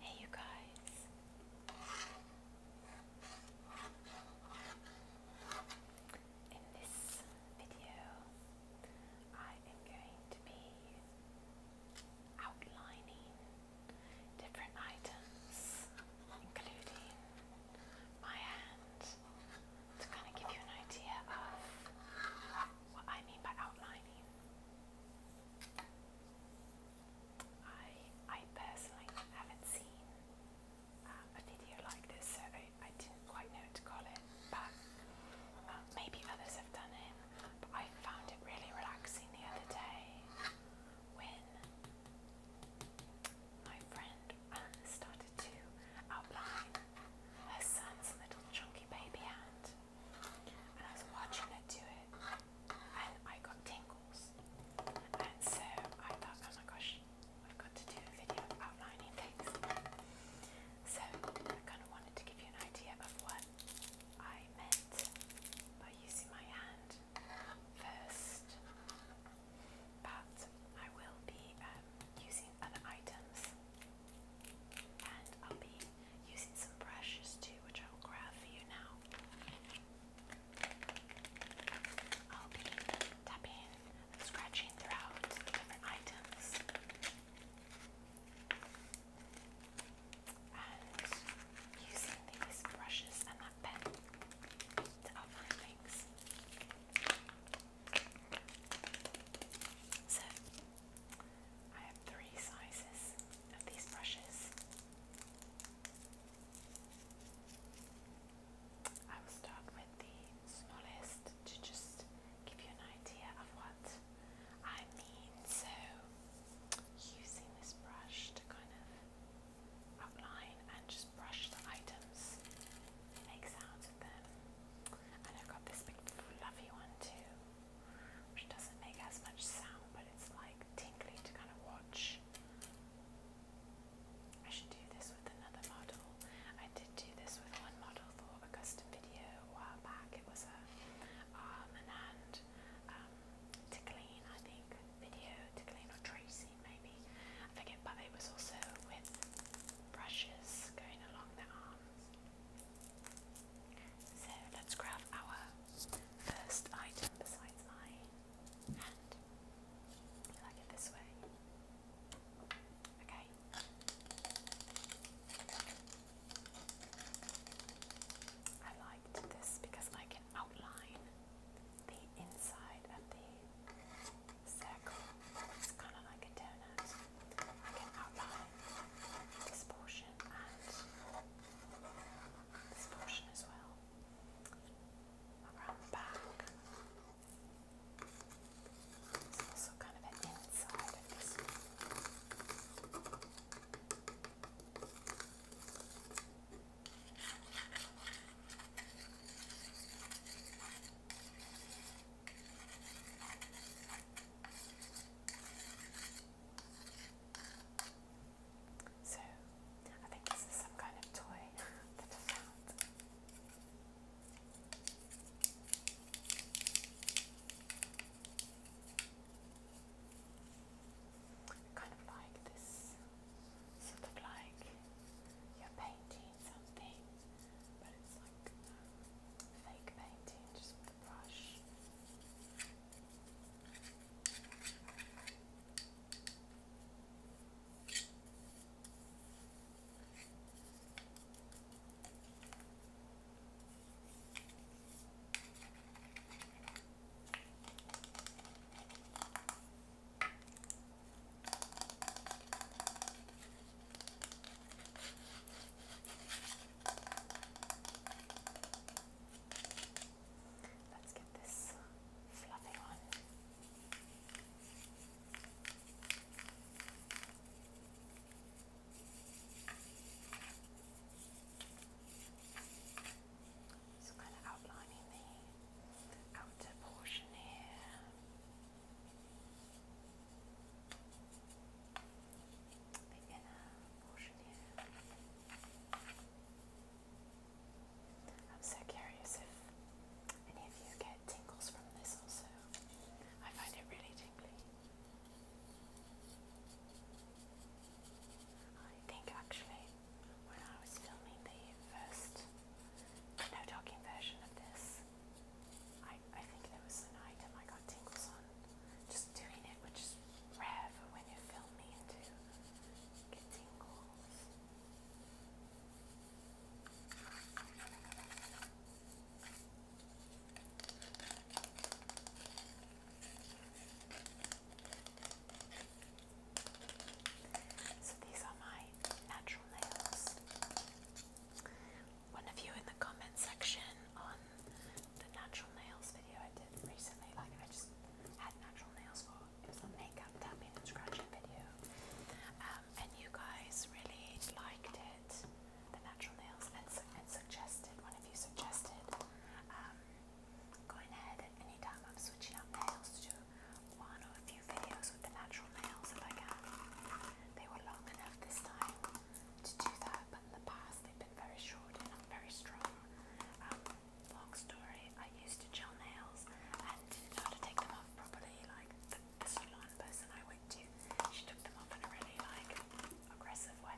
Hey, you guys. In this video, I am going to be outlining different items, including my hand, to kind of give you an idea of what I mean by outlining. I, I personally haven't seen um, a video like this, so I, I didn't quite know what to call it, but um, maybe others have done it. I found it really relaxing the other day when my friend Anne um, started to outline her son's little chunky baby hand, and I was watching her do it, and I got tingles. And so I thought, oh my gosh, I've got to do a video outlining things. So I kind of wanted to give you an idea of what I meant by using my hand first, but I will be um, using other items and I'll be using some brushes too, which I will grab for you now. I'll be tapping scratching throughout different items using these brushes and that pen to outline things. So, I have three sizes of these brushes. I will start with the smallest to just give you an idea of what I mean. So, using this brush to kind of outline and just brush the items, make sounds with them. And I've got this big fluffy one too, which doesn't make as much sound, but it's like tingly to kind of watch. I should do this with another model. I did do this with one model for a custom video a while back. It was a arm um, and hand um, Tickleen, I think, video, Tickleen or Tracy maybe, I forget, but it was also with brushes going along the arms. So let's grab our first item besides my hand. Like it this way. Okay. I liked this because I get outline the inside of the circle. It's kind of like a donut. outline this portion and this portion as well. Around the back. It's also kind of an inside of this. So, I think this is some kind of toy that I found kind of like this, sort of like you're painting something, but it's like fake painting just with a brush. Let's get this fluffy one. There so kind of outlining the outer portion here. The inner portion here. I'm so curious if any of you get tingles from this also. I find it really tingly. I think actually when I was filming the first no talking version of this, I, I think there was an item I got tingles on just doing it, which is rare for when you're filming to get tingles. So these are my natural nails. One of you in the comment section on the natural nails video I did recently, like I just had natural nails for it was a makeup tapping and scratching video, um, and you guys really liked it, the natural nails, and, suggested one of you suggested um, going ahead at any time I'm switching up nails to one or a few videos with the natural nails if I can. They were long enough this time to do that, but in the past they've been very short and very strong. Um, long story, I used to gel nails and did to take them off properly. Like the salon person I went to, she took them off in a really like aggressive way.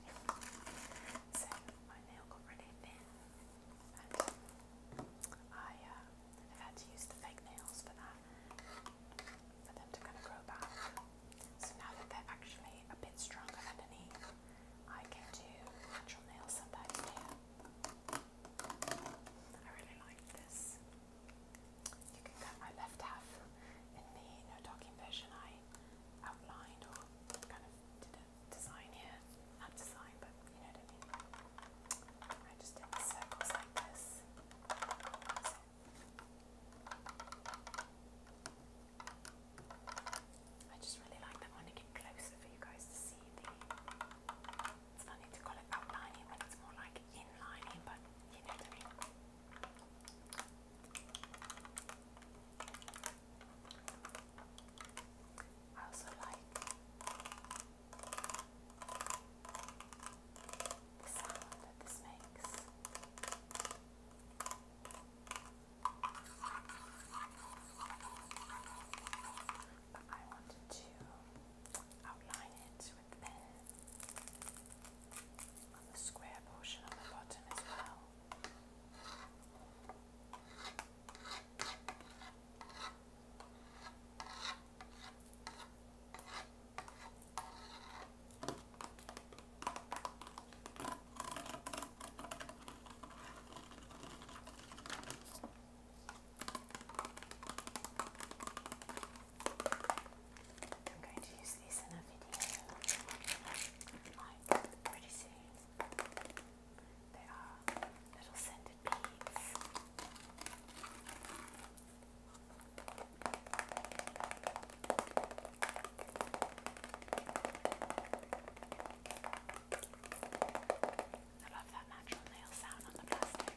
So my nail got really thin, I have uh, had to use the fake nails for that, for them to kind of grow back. So now that they're actually a bit stronger underneath, I can do natural nails sometimes here. I really like this. You can cut my left half in the no docking version I outlined or kind of design here. Not design, but you know what I mean. I just did circles like this. I just really like that. I want to get closer for you guys to see the. It's funny to call it outlining when it's more like inlining, but you know what I mean. I also like the sound that this makes. But I wanted to outline it with pen on the square portion on the bottom as well. I'm going to use these in a video on like pretty soon. They are little scented beads. I love that natural nail sound on the plastic.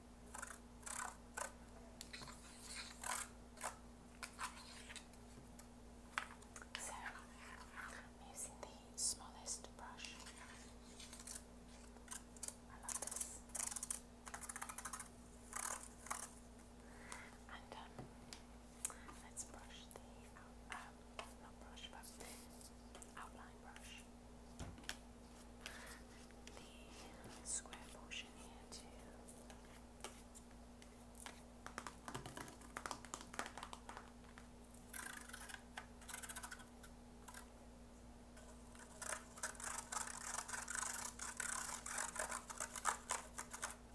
So I'm using the smallest brush. I love this. And um, let's brush the um, not brush, but outline brush square portion here too.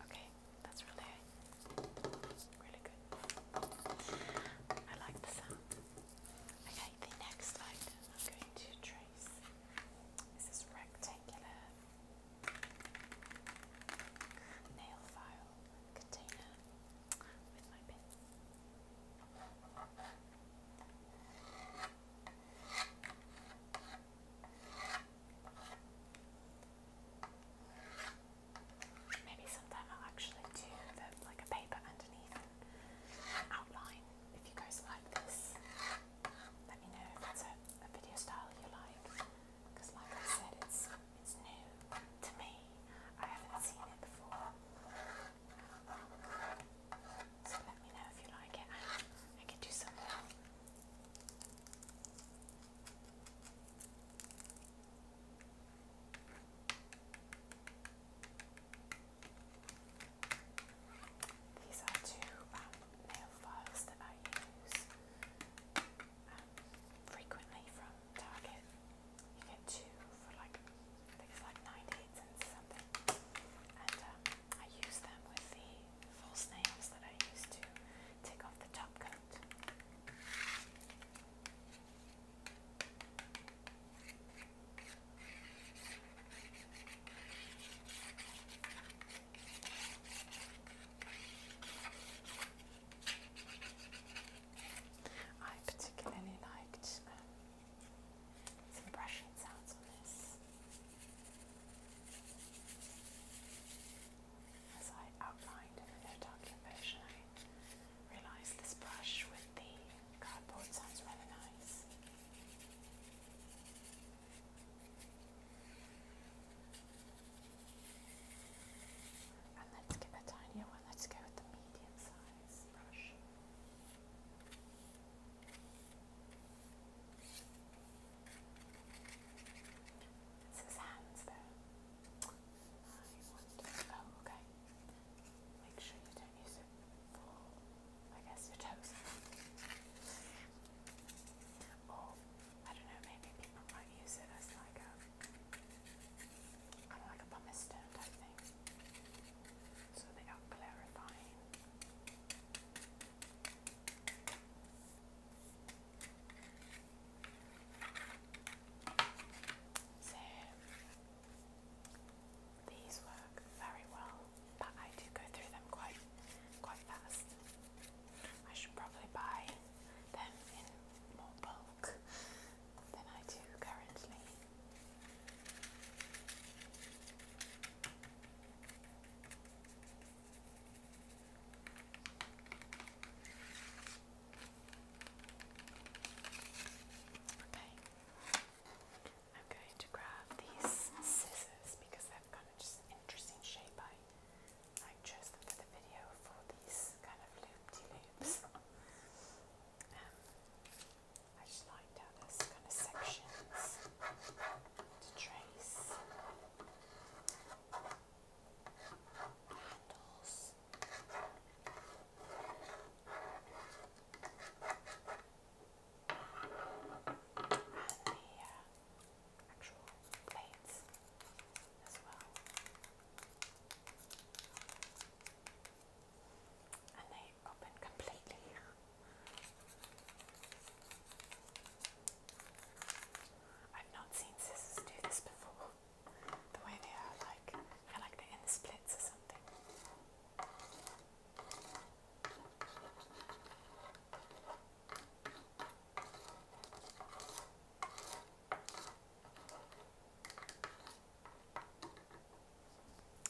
Okay, that's really, really good. I like the sound. Okay, the next item I'm going to trace this is rectangular nail file container with my pin. Maybe sometime I'll actually do like a paper underneath outline if you guys like this. Let me know if that's a, a video style you like, because like I said, it's it's new to me. I haven't seen it before. So let me know if you like it. I, I could do some more. These are two um, nail files that I use um, frequently from Target. You get two for like, I think like 98 cents something. And um, I use them with the false nails that I use to take off the top coat. I particularly liked um, some brushing sounds on this as I outlined in the no I realised this brush with the cardboard sounds really nice let's get a tinier one. Let's go with the medium size brush. his hands though. Oh, okay. Make sure you I guess, your toes. Or, I don't know, maybe people might use it as like a, kind of like a pumice stone type thing. So they are clarifying. So, these work very well, but I do go through them quite quite fast. I should probably buy them in more bulk than I do currently. Okay, I'm going to grab these scissors because they've got a just interesting shape. I, I chose them for the video for these kind of loop loops Um, I just liked how there's kind of sections to trace. Handles and the actual plates as well. And they open completely. I've not seen scissors do this before. The way they are like, I feel like they're in the splits or something.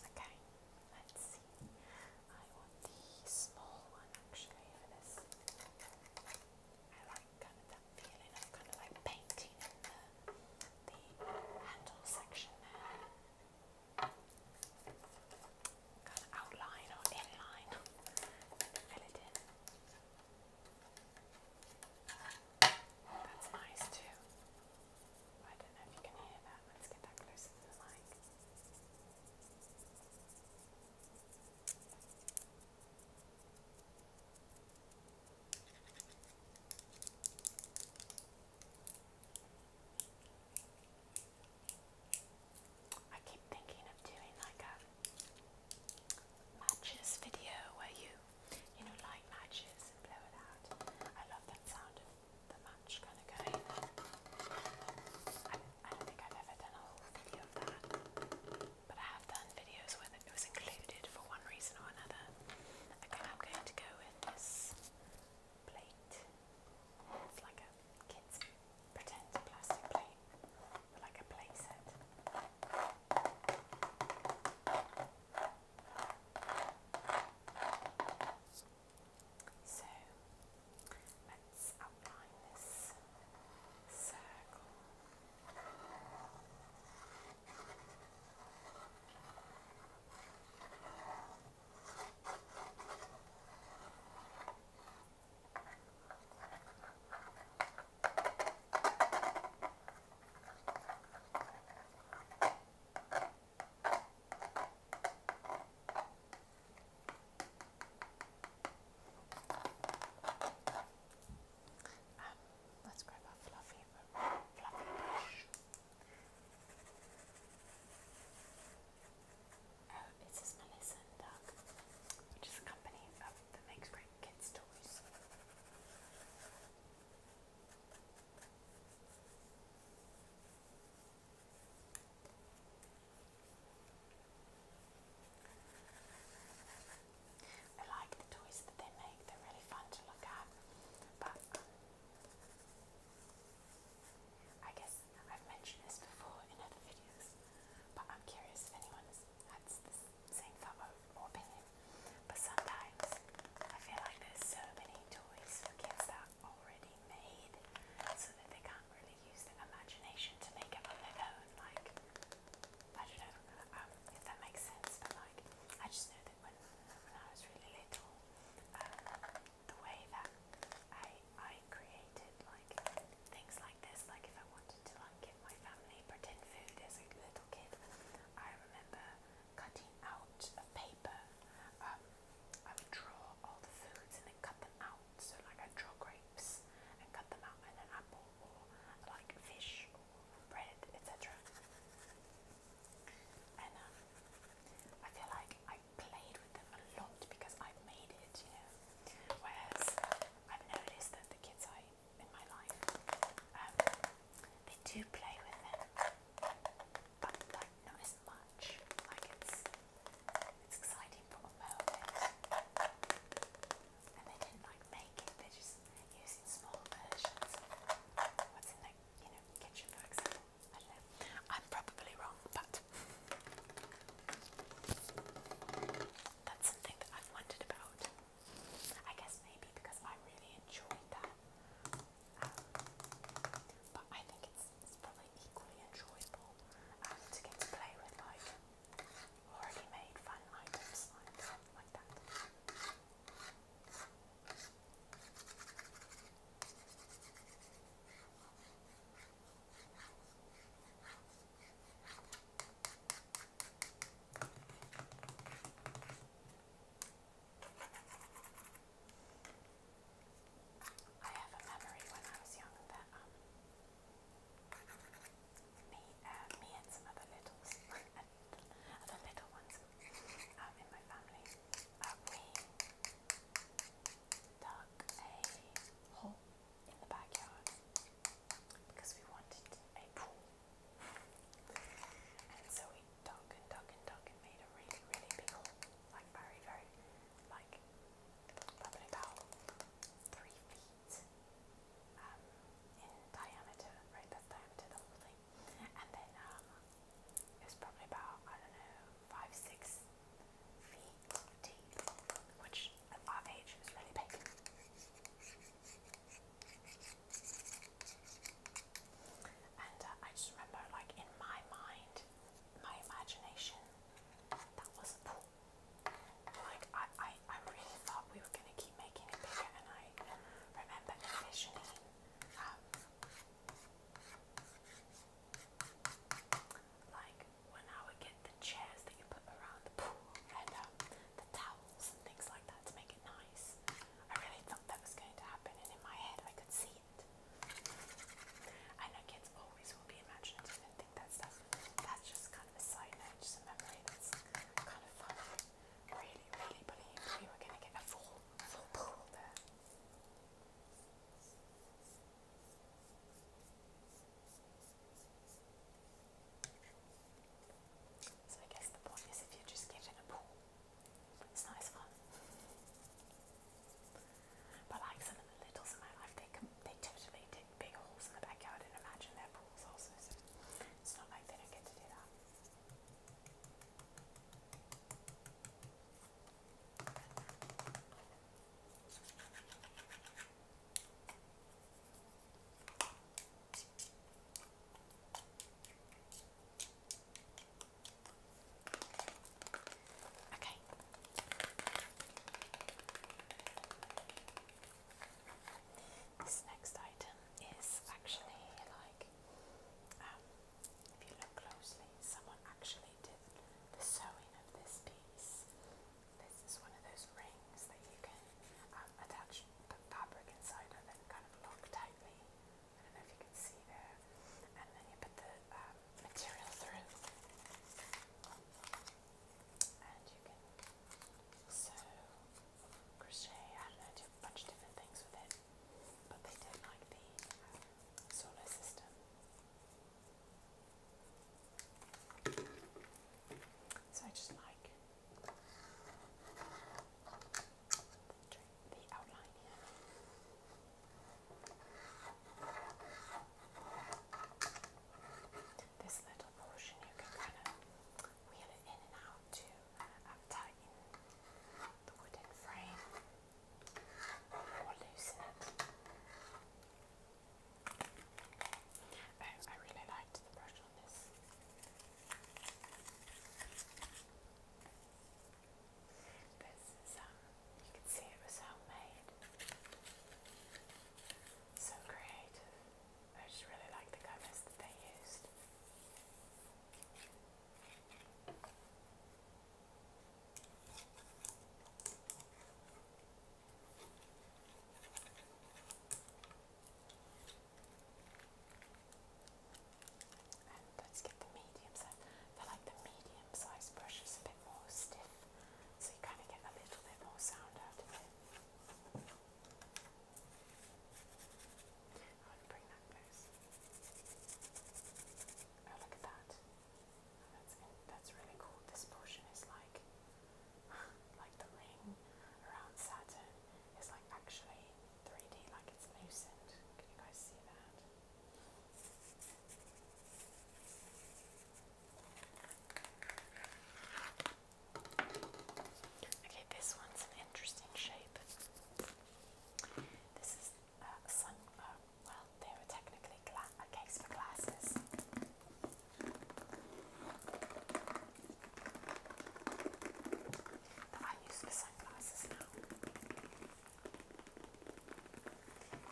Okay, let's see. I want the small one actually I like kind of that feeling of kind of like painting in the handle section there kind of outline or inline and fill it in. That's nice too. I don't know if you can hear that. Let's get that closer to the mic. I keep thinking of doing like a matches video where you, you know, light matches and blow it out. I love that sound of the match kind of going. I, don't think I've ever done a whole video of that, but I have done videos where it was included for one reason or another. Okay, I'm going to go with this plate. It's like a kid's pretend plastic plate, like a play So let's outline this circle. Um, let's grab our fluffy, fluffy brush. Oh, it says Melissa which is a company that makes great kids' toys. I like the toys that they make, they're really fun to look at, but I guess I've mentioned this before in other videos, but I'm curious if anyone had the same thought or opinion. But sometimes I feel like there's so many toys for kids that are already made, so that they can't really use their imagination to make up on their own. Like I don't know um, if that makes sense, but like I just know that when when I was really little, the way that I I created like things like this, like if I wanted to give my family pretend food as a little kid, I remember cutting out of paper. Um, I would draw all the foods and then cut them out. So like i draw grapes and cut them out and an apple or like fish or bread, etc. Um, I feel like I played with them a lot because I made it, you know. Whereas um, I've noticed that the kids I in my life, um, they do play with them, but like not as much. Like it's it's exciting for a moment, and they didn't like make it. They're just using small versions. What's in that you know, kitchen, for example. I know. I'm probably wrong, but that's something that I've wondered about. I guess maybe because I really enjoyed that. Um, but I think it's, it's probably equally enjoyable um, to get to play with like already made fun items like that. I have a memory when I was young that um, me, uh, me and some other littles, I other little ones um, in my family. Um, dug a hole in the backyard because we wanted a pool. And so we dug and dug and dug and made a really, really big hole, like very, very, like about three feet um, in diameter, right? That's diameter the whole and then um, it was probably about I don't know five six feet deep, which at our age is really big. And uh, I just remember, like in my mind, my imagination, that was a pool. Like I, I, I really thought we were gonna keep making it bigger, and I remember envisioning like when I would get the chairs that you put around the pool and um, the towels and things like that to make it nice. I really thought that was going to happen, and in my head I could see it. I know kids always will be imaginative and think that stuff. That's just kind of a side note, just a memory that's kind of fun really, really believe we were going to get a full, full pool there. So I guess the point is if you just get a pool, it's nice fun. But like some of the littles in my life, they they totally dig big holes in the backyard and imagine their pools also. it's not like they don't get to do that. Okay. This next item is actually like um, if you look closely, someone actually did the sewing of this piece. This is one of those rings that you can um, attach the fabric inside of and kind of lock tightly. I don't know if you can see there. And then you put the um, material through. And you can sew crochet. I don't know, I did a bunch of different things with it, but they did like the um, solar system. So I just like the outline here. This little portion you can kind of wheel it in and out to uptighten uh, the wooden frame or loosen it. Oh, I really liked the brush on this. This is, um, you can see it was homemade. So creative. I just really like the colours that they used. And let's get the medium size. I like the medium size brush is a bit more stiff, so you kind of get a little bit more sound out of it. I want bring that close. Oh, look at that. That's, that's really cool. This portion is like, like the ring around Saturn is like actually 3D, like it's loosened. Can you guys see that? Okay, this one's an interesting shape. This is uh, some, uh, well, they were technically a case for glasses. That I use for sunglasses now.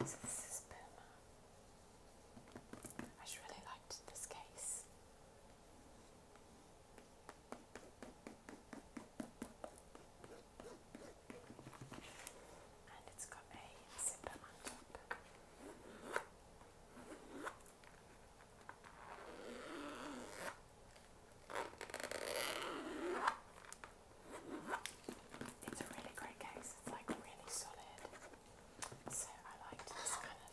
So this is Puma. I really liked this case. And it's got a zipper on top. It's a really great case, it's like really solid. So I liked this kind of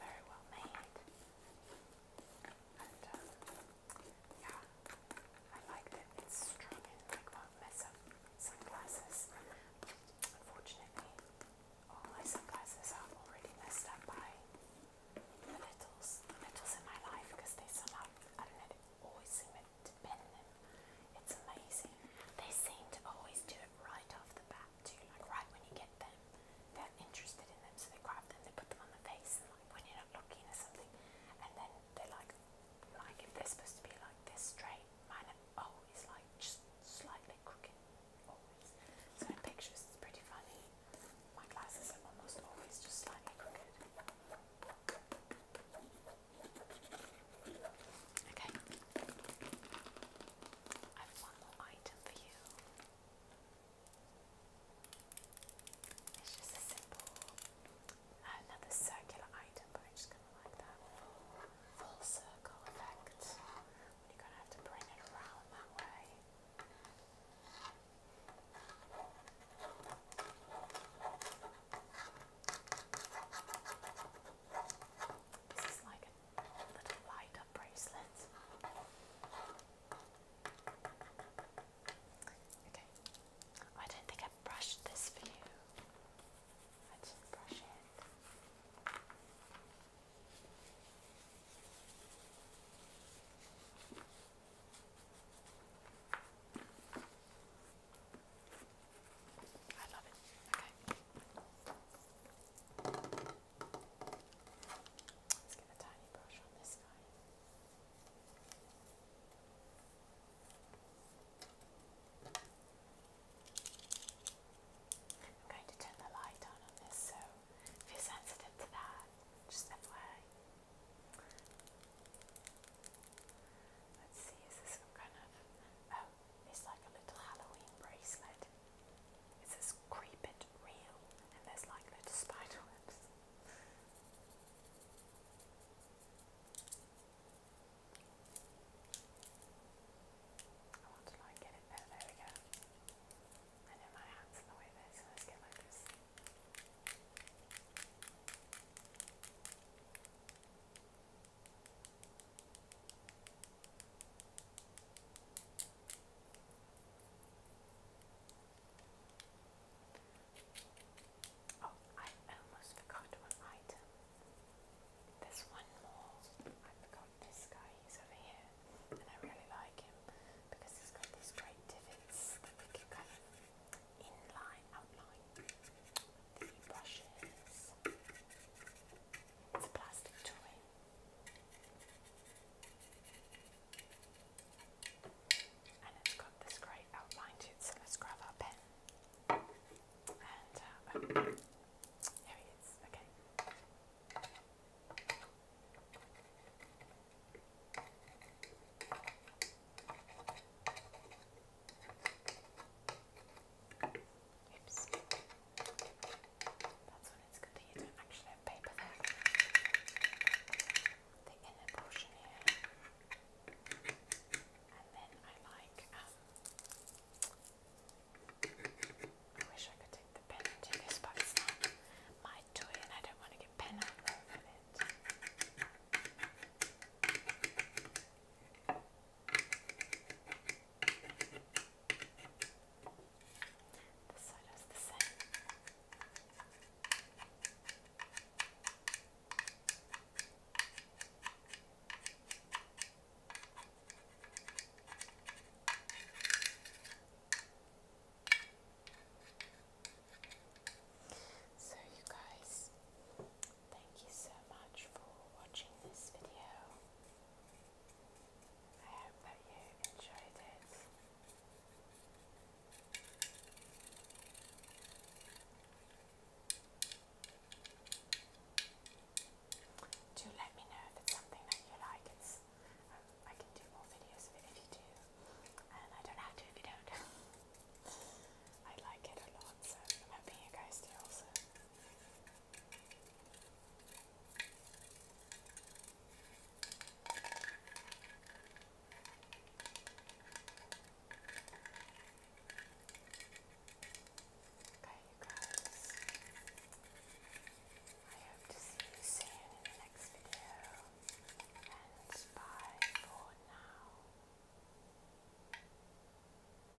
very well made. Um, yeah, I like that it's strong and like won't mess up sunglasses. Unfortunately, all my sunglasses are already messed up by the metals, the metals in my life because they somehow, I don't know, they always seem to bend them. It's amazing. They seem to always do it right off the bat that too, like right when you get them, they're interested in them, so they grab them, they put them on the face, and like when you're not looking or something, and then they're like, like if they're supposed to be like this straight, mine are always like just slightly crooked, always. So in pictures, it's pretty funny. My glasses are almost always just slightly crooked. Okay. I have one more item for you. It's just a simple, another circular item, but i just going to like that full circle effect. You're going to have to bring it around that way. This is like little light up bracelet. Okay, I don't think I brushed this for you. I did brush it. I love it. Okay let I'm going to turn the light on on this, so if you're sensitive to that, just FYI. Let's see, is this some kind of. Oh, it's like a little Halloween bracelet. It's says creepy, it real and there's like little spider webs. I want to like get it oh, there, there I know my hand's in the way there, so let's get like this. Oh, I almost forgot one item. There's one more. I forgot this guy. He's over here, and I really like him because he's got these straight divots that we outline the brushes. It's a plastic toy. And it's got this great outline to it, so pen. And uh, oh, okay. Oops. That's when it's good you don't actually have paper there. The inner portion here. And then I like, um, I wish I could take the pen and this, but it's not my toy and I don't want to get pen out it. This side is the same. So you guys, Thank you so much for watching this video. I hope that you enjoyed it. Do let me know if it's something that you like. Um, I can do more videos of it if you do, and I don't have to if you don't. I like it a lot, so I'm hoping you guys do also. Okay, you guys. I hope to see you soon in the next video. And bye for now.